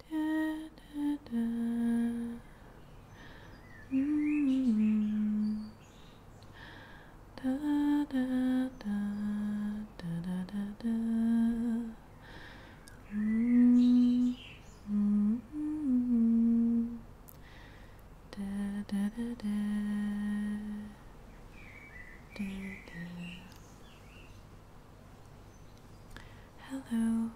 Da, da, da. Mm -hmm. da, da, da, da, da, da, da. Mm -hmm. da, da, da, da. da, da. Hello.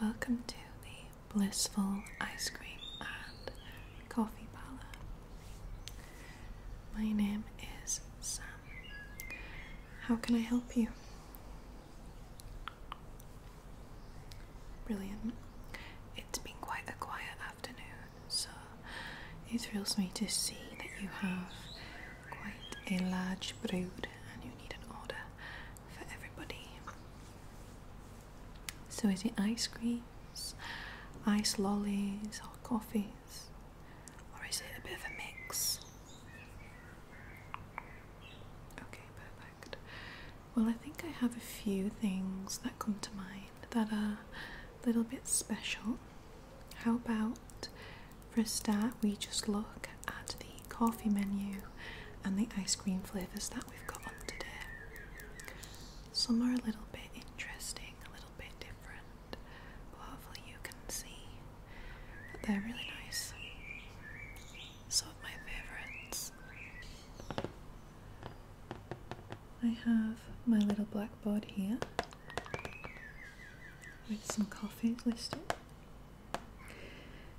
Welcome to the Blissful Ice Cream and Coffee Parlor. My name is Sam. How can I help you? Brilliant. It's been quite a quiet afternoon, so it thrills me to see that you have quite a large brood and you need an order for everybody. So, is it ice creams, ice lollies, or coffees? Or is it a bit of a mix? Okay, perfect. Well, I think I have a few things that come to mind that are a little bit special how about for a start we just look at the coffee menu and the ice cream flavours that we've got on today. Some are a little bit interesting, a little bit different, but hopefully you can see that they're really nice. Some of my favourites. I have my little blackboard here with some coffee listed.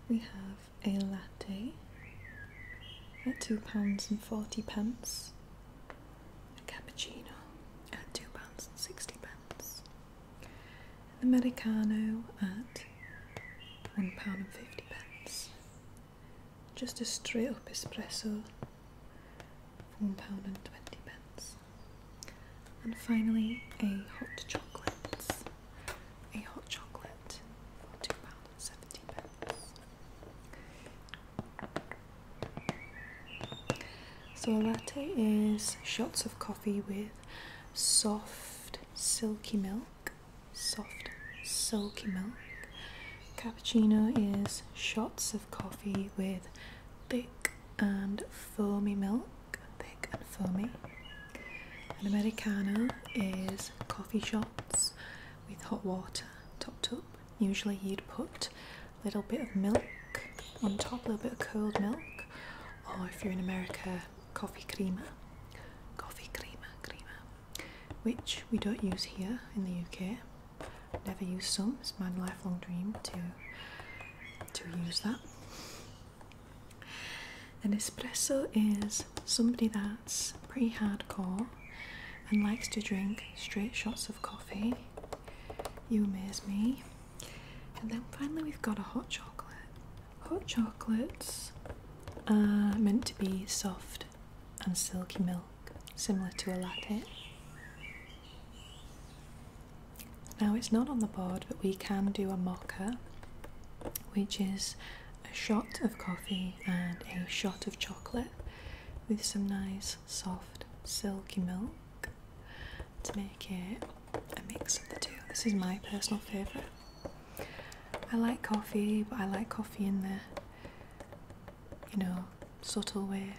We have a latte at £2.40, a cappuccino at £2.60, the Americano at £1.50. Just a straight up espresso four pound and twenty pence. And finally, a hot chocolate. A hot chocolate for two pound and seventy pence. So a latte is shots of coffee with soft silky milk. Soft silky milk. Cappuccino is shots of coffee with thick and foamy milk, thick and foamy. An Americano is coffee shots with hot water topped up. Usually you'd put a little bit of milk on top, a little bit of cold milk, or if you're in America, coffee creamer. Coffee creamer, creamer, which we don't use here in the UK. Never used some. It's my lifelong dream to to use that. An espresso is somebody that's pretty hardcore and likes to drink straight shots of coffee. You amaze me. And then finally we've got a hot chocolate. Hot chocolates are meant to be soft and silky milk, similar to a latte. Now it's not on the board, but we can do a mocha, which is a shot of coffee and a shot of chocolate with some nice soft silky milk to make it a mix of the two. This is my personal favourite. I like coffee, but I like coffee in the you know subtle way.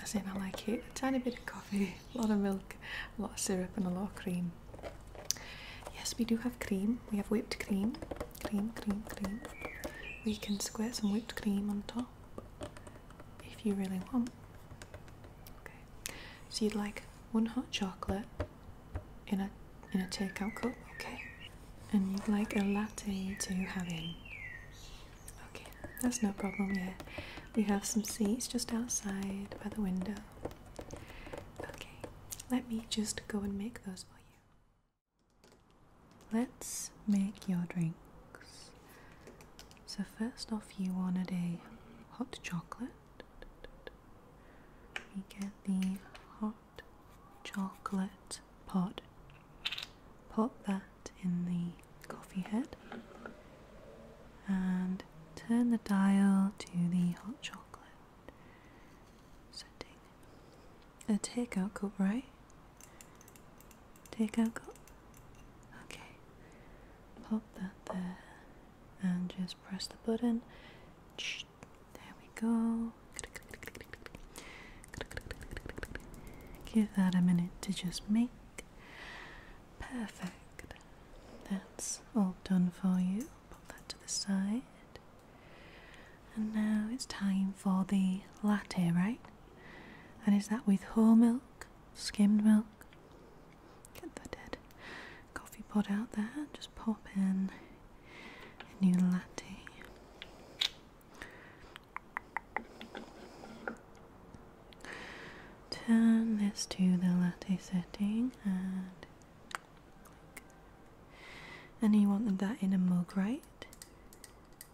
I in, I like it. A tiny bit of coffee, a lot of milk, a lot of syrup, and a lot of cream. Yes, we do have cream. We have whipped cream. Cream, cream, cream. We can squirt some whipped cream on top if you really want. So you'd like one hot chocolate in a in a takeout cup, okay? And you'd like a latte to have in. Okay, that's no problem Yeah, We have some seats just outside by the window. Okay, let me just go and make those for you. Let's make your drinks. So, first off, you wanted a hot chocolate. We get the hot chocolate pot. Pop that in the coffee head and turn the dial to the hot chocolate setting. A takeout cup, right? Takeout cup? Okay. Pop that there and just press the button. There we go. Give that a minute to just make Perfect. That's all done for you. Put that to the side. And now it's time for the latte, right? And is that with whole milk, skimmed milk? Get the dead coffee pot out there just pop in a new latte. Turn this to the latte setting and click. And you wanted that in a mug, right?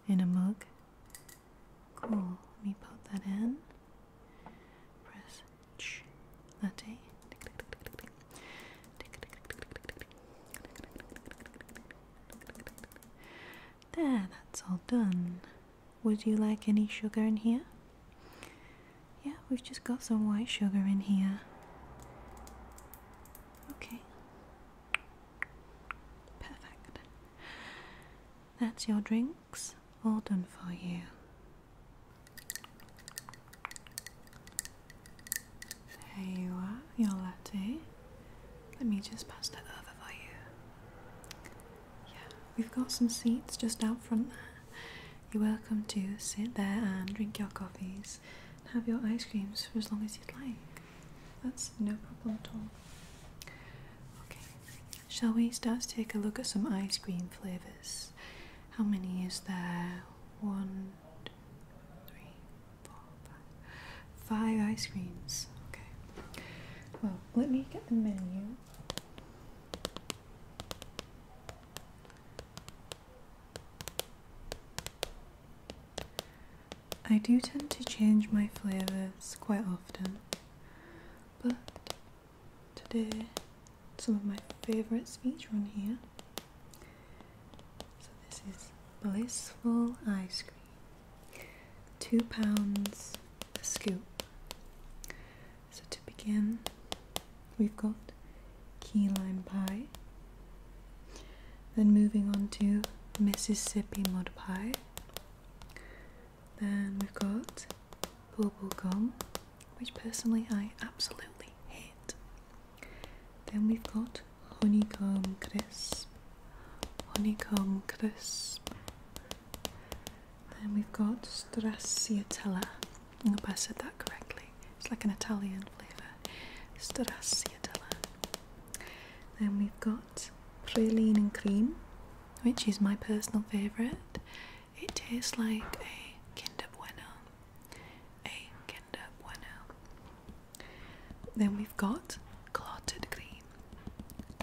In a mug. Cool. Let me put that in. Press latte. There, that's all done. Would you like any sugar in here? Yeah, we've just got some white sugar in here. Okay. Perfect. That's your drinks all done for you. There you are, your latte. Let me just pass that over for you. Yeah, we've got some seats just out front there. You're welcome to sit there and drink your coffees and have your ice creams for as long as you'd like. That's no problem at all. Okay, shall we start to take a look at some ice cream flavours? How many is there? One, two, three, four, five. Five ice creams. Okay. Well, let me get the menu. I do tend to change my flavours quite often, but today some of my favourites feature on here. So this is Blissful Ice Cream. Two pounds the scoop. So to begin, we've got key lime pie. Then moving on to Mississippi mud pie. Then we've got bubble gum, which personally I absolutely hate. Then we've got honeycomb crisp, honeycomb crisp, then we've got stracciatella. I hope I said that correctly. It's like an Italian flavour. Stracciatella. Then we've got praline and cream, which is my personal favourite. It tastes like a Kinder Bueno. A Kinder Bueno. Then we've got clotted cream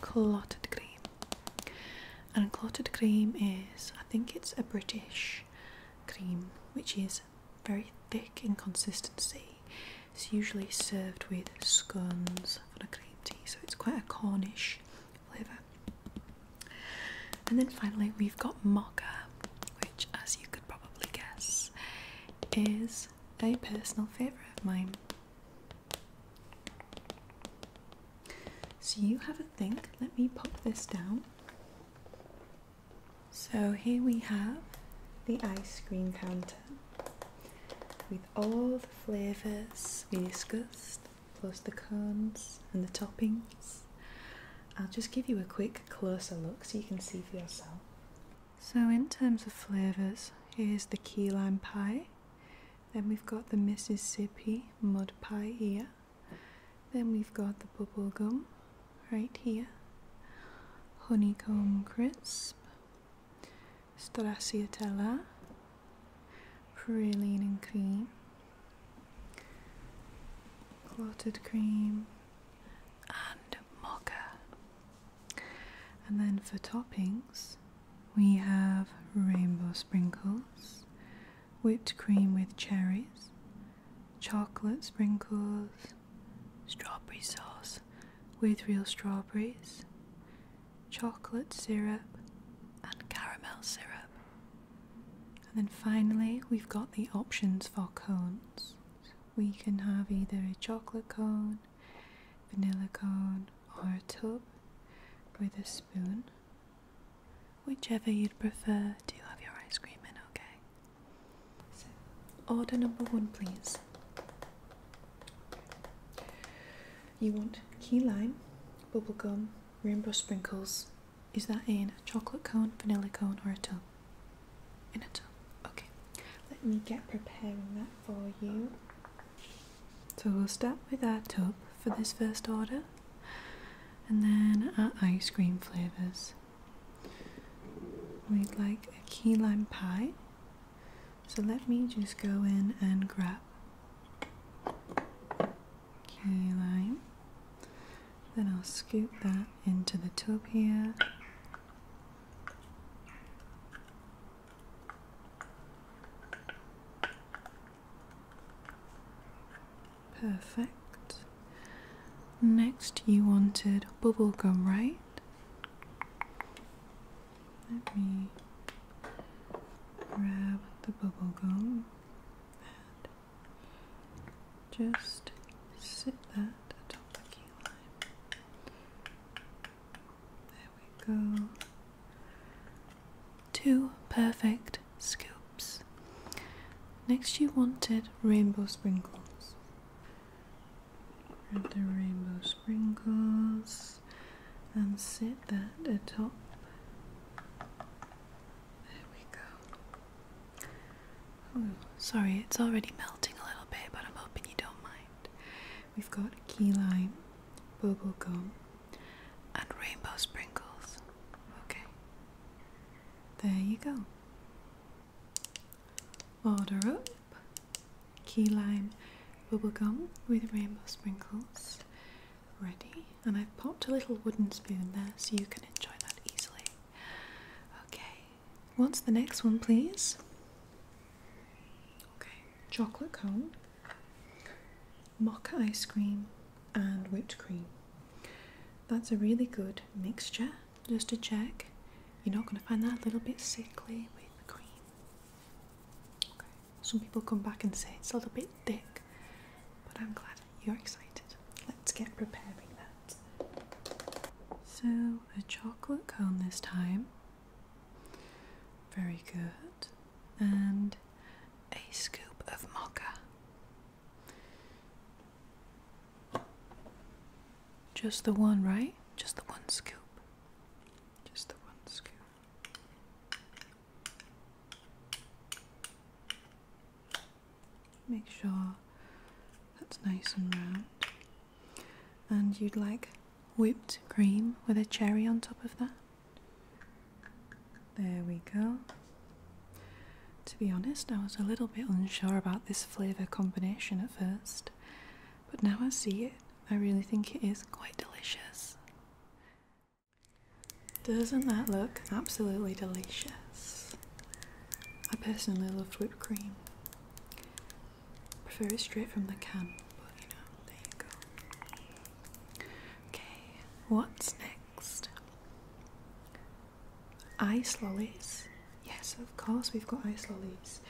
clotted cream. And clotted cream is, I think it's a British cream which is very thick in consistency. It's usually served with scones on a cream tea, so it's quite a Cornish flavour. And then finally, we've got mocha, which, as you could probably guess, is a personal favourite of mine. So you have a think. Let me pop this down. So here we have the ice cream counter with all the flavours we discussed, plus the cones and the toppings. I'll just give you a quick closer look so you can see for yourself. So, in terms of flavours, here's the key lime pie, then we've got the Mississippi mud pie here. Then we've got the bubble gum, right here. Honeycomb crisp. Stracciatella. Praline and cream. Clotted cream. And mocha. And then for toppings, we have rainbow sprinkles, whipped cream with cherries, chocolate sprinkles, strawberry sauce with real strawberries, chocolate syrup, and caramel syrup. And then finally, we've got the options for cones. We can have either a chocolate cone, vanilla cone, or a tub with a spoon. Whichever you'd prefer to have your ice cream in, okay? order number one, please. You want key lime, bubble gum, rainbow sprinkles. Is that in a chocolate cone, vanilla cone, or a tub? In a tub. Okay. Let me get preparing that for you. So we'll start with our tub for this first order and then our ice cream flavours. We'd like a key lime pie. So let me just go in and grab key lime. Then I'll scoop that into the tub here. Perfect. Next, you wanted bubble gum, right? Let me grab the bubblegum and just sit that atop the key Two perfect scoops. Next, you wanted rainbow sprinkles. Add the rainbow sprinkles and set that atop. There we go. Oh, sorry, it's already melting a little bit, but I'm hoping you don't mind. We've got key lime, bubble gum, and rainbow sprinkles. Okay, there you go. Order up key lime bubble gum with rainbow sprinkles ready, and I've popped a little wooden spoon there so you can enjoy that easily. Okay, what's the next one, please? Okay, chocolate cone mocha ice cream and whipped cream. That's a really good mixture, just to check. You're not going to find that a little bit sickly with the cream. Okay. Some people come back and say it's a little bit thick, but I'm glad you're excited. Let's get preparing that. So, a chocolate cone this time very good. And a scoop of mocha. Just the one, right? Just the one scoop. Just the one scoop. Make sure that's nice and round. And you'd like whipped cream with a cherry on top of that. There we go. To be honest, I was a little bit unsure about this flavour combination at first, but now I see it, I really think it is quite delicious. Doesn't that look absolutely delicious? I personally love whipped cream. Prefer it straight from the can, but you know, there you go. Okay, what's next? Ice lollies. Yes, of course, we've got ice lollies.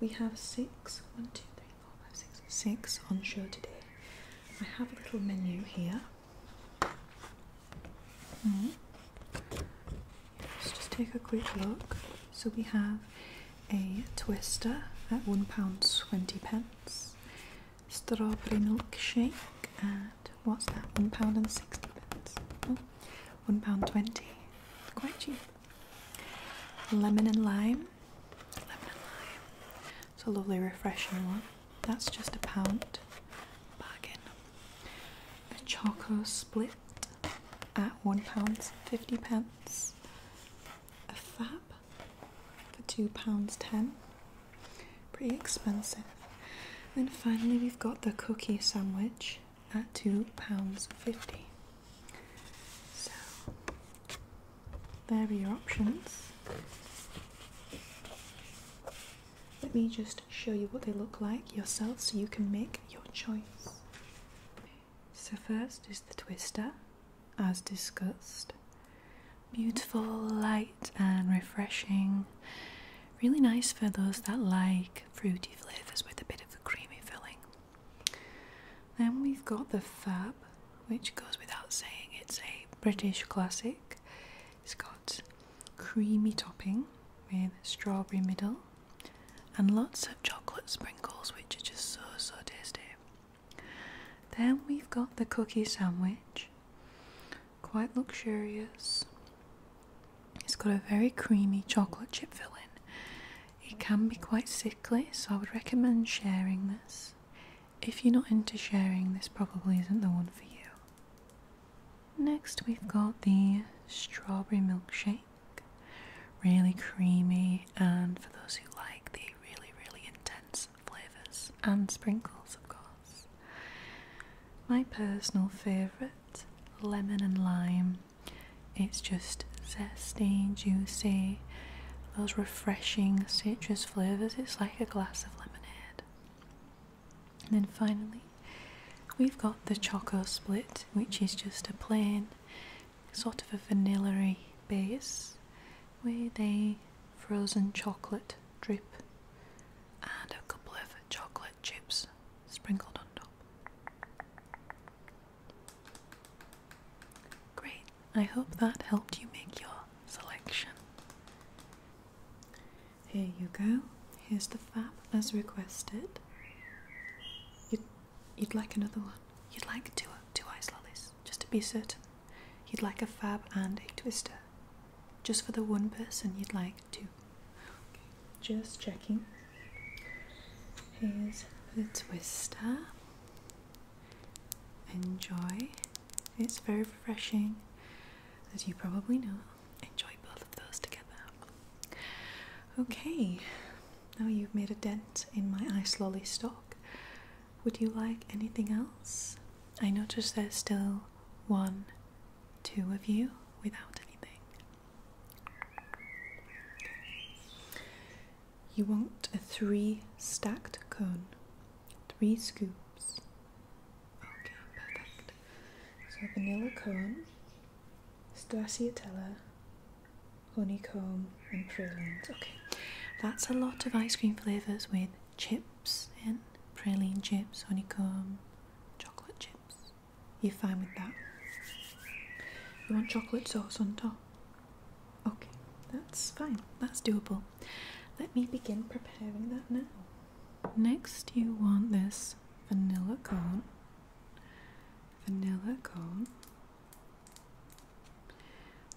We have six, one, two, three, four, five, six, six on show today. I have a little menu here. Hmm. Let's just take a quick look. So we have a twister at £1.20, strawberry milkshake at what's that, £1.60, oh, £1.20, quite cheap. Lemon and lime, lemon and lime, it's a lovely refreshing one, that's just a pound, bargain. A choco split at £1.50, a fab for £2.10. Pretty expensive. And finally, we've got the cookie sandwich at £2.50. So, there are your options. Let me just show you what they look like yourself so you can make your choice. So, first is the twister, as discussed. Beautiful, light, and refreshing. Really nice for those that like fruity flavours with a bit of a creamy filling. Then we've got the Fab, which goes without saying, it's a British classic. It's got creamy topping with strawberry middle and lots of chocolate sprinkles, which are just so so tasty. Then we've got the cookie sandwich. Quite luxurious. It's got a very creamy chocolate chip filling. It can be quite sickly, so I would recommend sharing this. If you're not into sharing, this probably isn't the one for you. Next, we've got the strawberry milkshake. Really creamy, and for those who like the really, really intense flavours and sprinkles, of course. My personal favourite lemon and lime. It's just zesty, juicy, those refreshing citrus flavours. It's like a glass of lemonade. And then finally, we've got the Choco Split, which is just a plain sort of a vanilla base with a frozen chocolate drip and a couple of chocolate chips sprinkled on top. Great, I hope that helped you make your selection. Here you go, here's the fab as requested. You You'd like another one. You'd like two, two ice lollies, just to be certain. You'd like a fab and a twister. Just for the one person you'd like two. Just checking. Here's the twister. Enjoy. It's very refreshing, as you probably know. Enjoy both of those together. Okay, now you've made a dent in my ice lolly stock. Would you like anything else? I notice there's still one, two of you without anything. You want a three stacked cone, three scoops. Okay, perfect. So vanilla cone, stracciatella, honeycomb, and praline. Okay, that's a lot of ice cream flavours with chips in praline chips, honeycomb, chocolate chips. You're fine with that. You want chocolate sauce on top? Okay, that's fine, that's doable. Let me begin preparing that now. Next, you want this vanilla cone. Vanilla cone.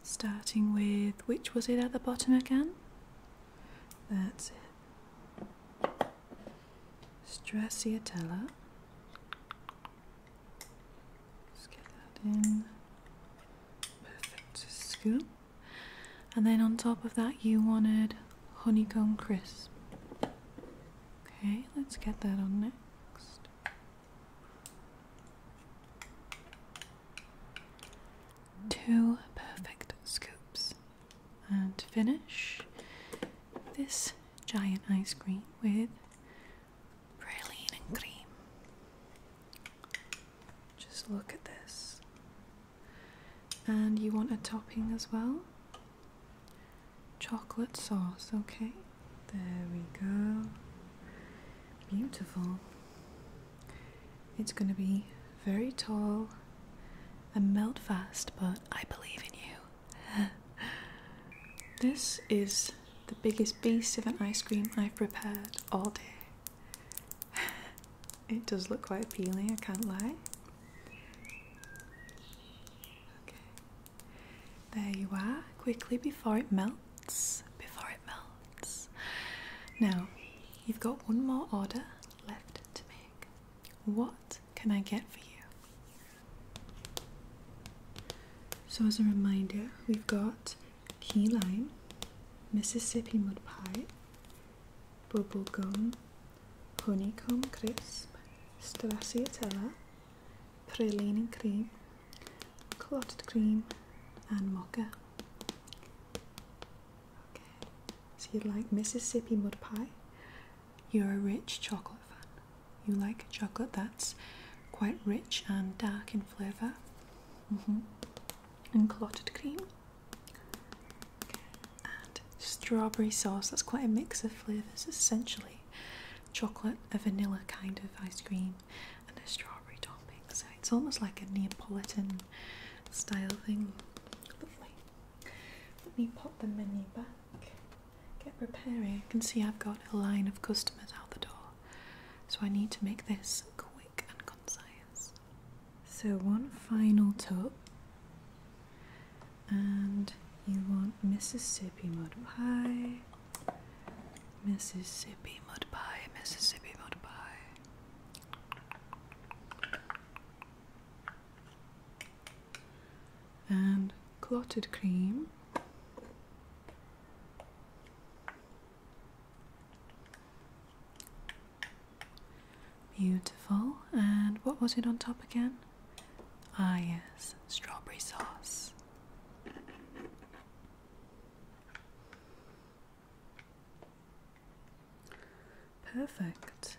Starting with which was it at the bottom again? That's it. Straciatella. Let's get that in. Perfect scoop. And then on top of that, you wanted honeycomb crisp. Okay, let's get that on next. Two perfect scoops. And to finish this giant ice cream with praline and cream. Just look at this. And you want a topping as well? Chocolate sauce, okay? There we go. Beautiful. It's going to be very tall and melt fast, but I believe in you. this is the biggest beast of an ice cream I've prepared all day. it does look quite appealing, I can't lie. Okay, there you are, quickly before it melts. Before it melts. Now, you've got one more order left to make. What can I get for you? So, as a reminder, we've got key lime, Mississippi mud pie, bubble gum, honeycomb crisp, stracciatella, praline cream, clotted cream, and mocha. so you like Mississippi mud pie? You're a rich chocolate fan. You like chocolate that's quite rich and dark in flavour. Mm-hmm. And clotted cream. And strawberry sauce. That's quite a mix of flavours, essentially. Chocolate, a vanilla kind of ice cream, and a strawberry topping. So it's almost like a Neapolitan style thing. Lovely. Let me pop the menu back. Get preparing. I can see I've got a line of customers out the door. So I need to make this quick and concise. So one final top. And you want Mississippi mud pie. Mississippi mud pie, Mississippi mud pie. And clotted cream. Beautiful. And what was it on top again? Ah, yes, strawberry sauce. Perfect.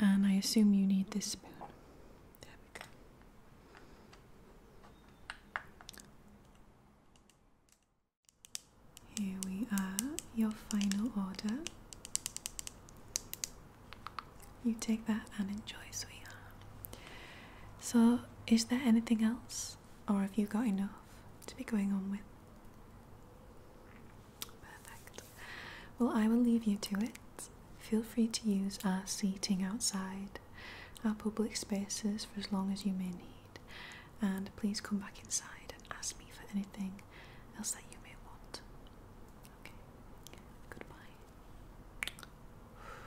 And I assume you need this spoon. There we go. Here we are, your final order. You take that and enjoy, sweetheart. So, is there anything else, or have you got enough to be going on with? Perfect. Well, I will leave you to it. Feel free to use our seating outside, our public spaces for as long as you may need, and please come back inside and ask me for anything else that you may want. Okay, goodbye.